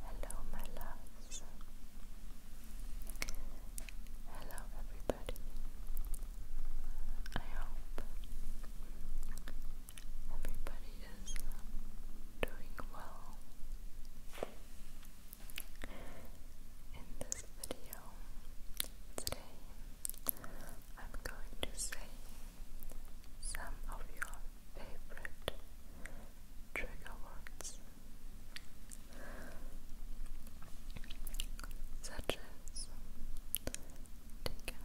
Hello, my loves. Hello, everybody. I hope everybody is doing well. In this video today, I'm going to say some of your favorite trigger words, such as digger,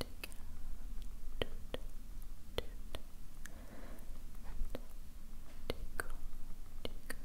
digger, toot, toot, and tickle, tickle, tickle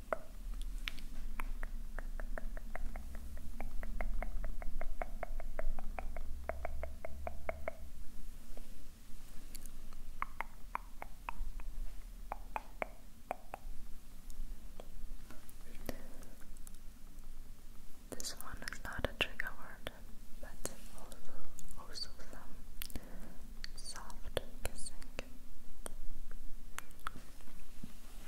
this one is not a trigger word, but also also some soft kissing.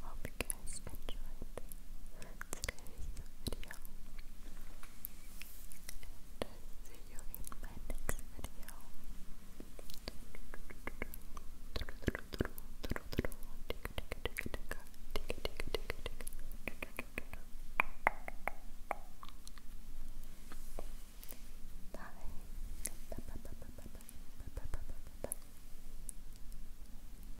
hope you guys enjoyed deze video. And I'll video. you in mijn next video. Bye.